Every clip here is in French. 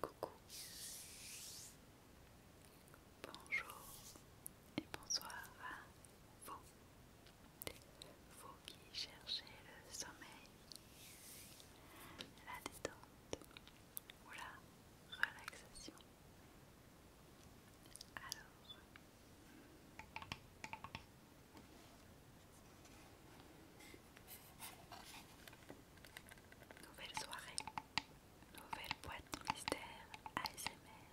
Coucou. Bonjour et bonsoir à vous. Vous qui cherchez le sommeil, la détente ou la relaxation. Alors, Nouvelle soirée, nouvelle boîte mystère ASMR.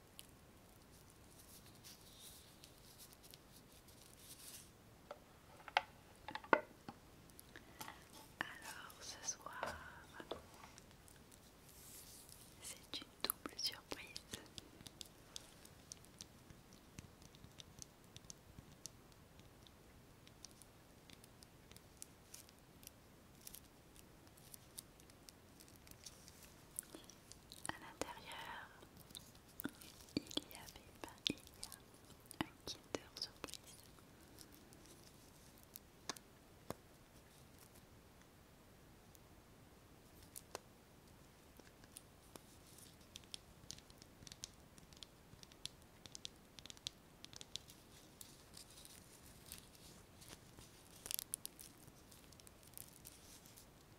Alors ce soir, c'est une double surprise. À l'intérieur, il y avait pas il y a un Kinder Surprise.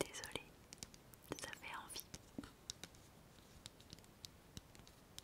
Désolée, ça fait envie.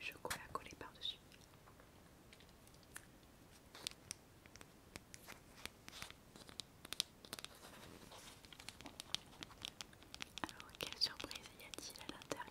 chocolat collé par-dessus. Alors, quelle surprise y a-t-il à l'intérieur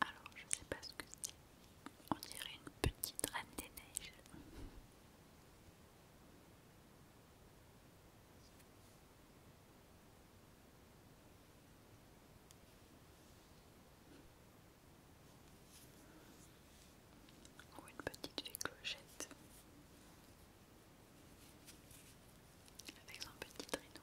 Alors, je sais pas ce que c'est. On dirait une petite reine des neiges ou une petite fée clochette avec son petit traîneau.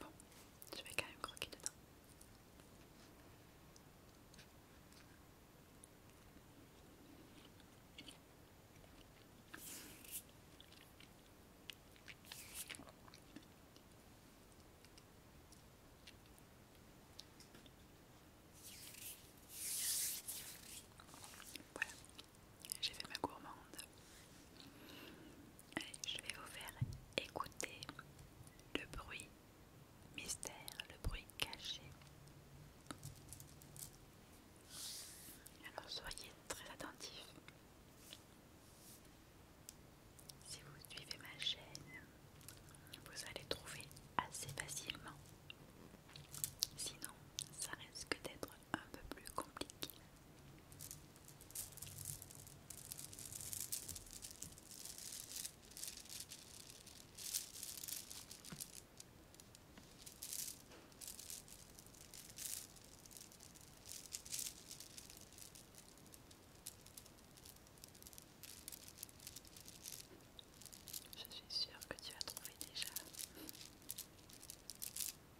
Bon, je vais quand même croquer dedans. Voilà, j'ai fait ma gourmande je vais vous faire écouter le bruit mystère, le bruit caché. Alors soyez très attentifs. Si vous suivez ma chaîne, vous allez trouver assez facilement. Sinon, ça risque d'être un peu plus compliqué. Je suis sûre que tu as trouvé déjà.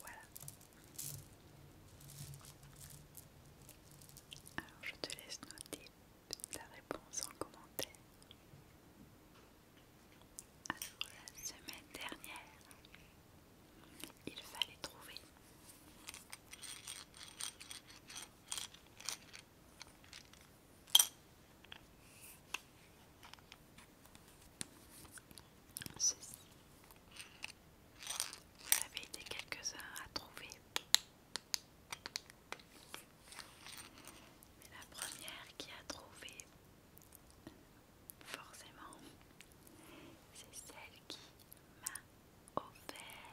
Voilà. Alors je te laisse noter ta réponse en commentaire. la semaine dernière, il fallait trouver vous avez été quelques-uns à trouver. Mais la première qui a trouvé, forcément, c'est celle qui m'a offert.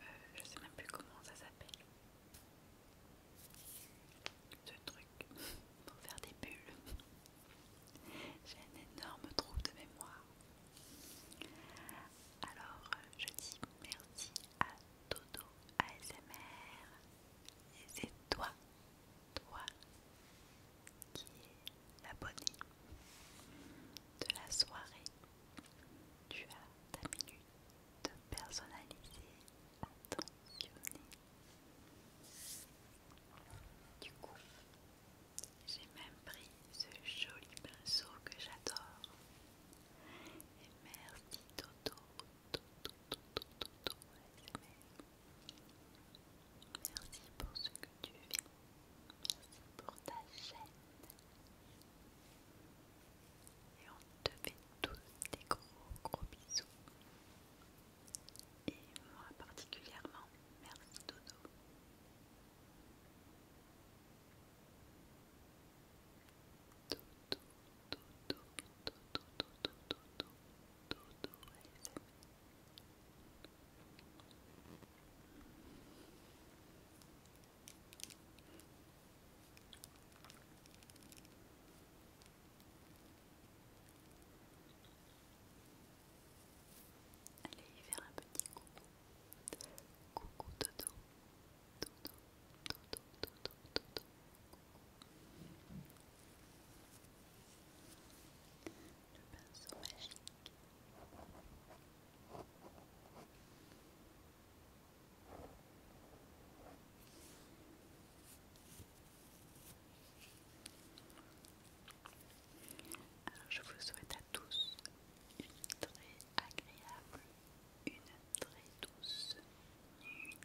Euh, je sais même plus comment ça s'appelle ce truc pour faire des bulles j'ai un énorme trouble de mémoire alors euh, je dis merci à Dodo ASMR et c'est toi toi qui est l'abonné de la soirée tu as ta minute personnalisée, attentionnée. Du coup, j'ai même pris ce joli pinceau que j'adore. Et merci Toto, Toto, Toto, Merci pour ce que tu fais Merci pour ta chaîne. Et on te fait tous des gros gros bisous. Et moi particulièrement, merci Dodo. Dodo, Allez vers un petit coucou. Coucou Dodo. Dodo, Dodo, Dodo, Dodo. Le pinceau magique. Alors je vous souhaite à tous une très agréable, une très douce nuit.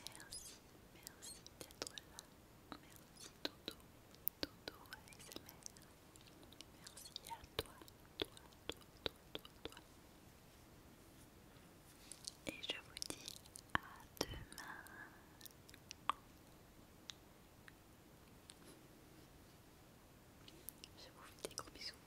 Merci, merci d'être là. Merci Toto, Dodo ASMR. Merci à toi, toi, toi, toi, toi, toi. Et je vous dis à demain. Je vous fais des gros bisous.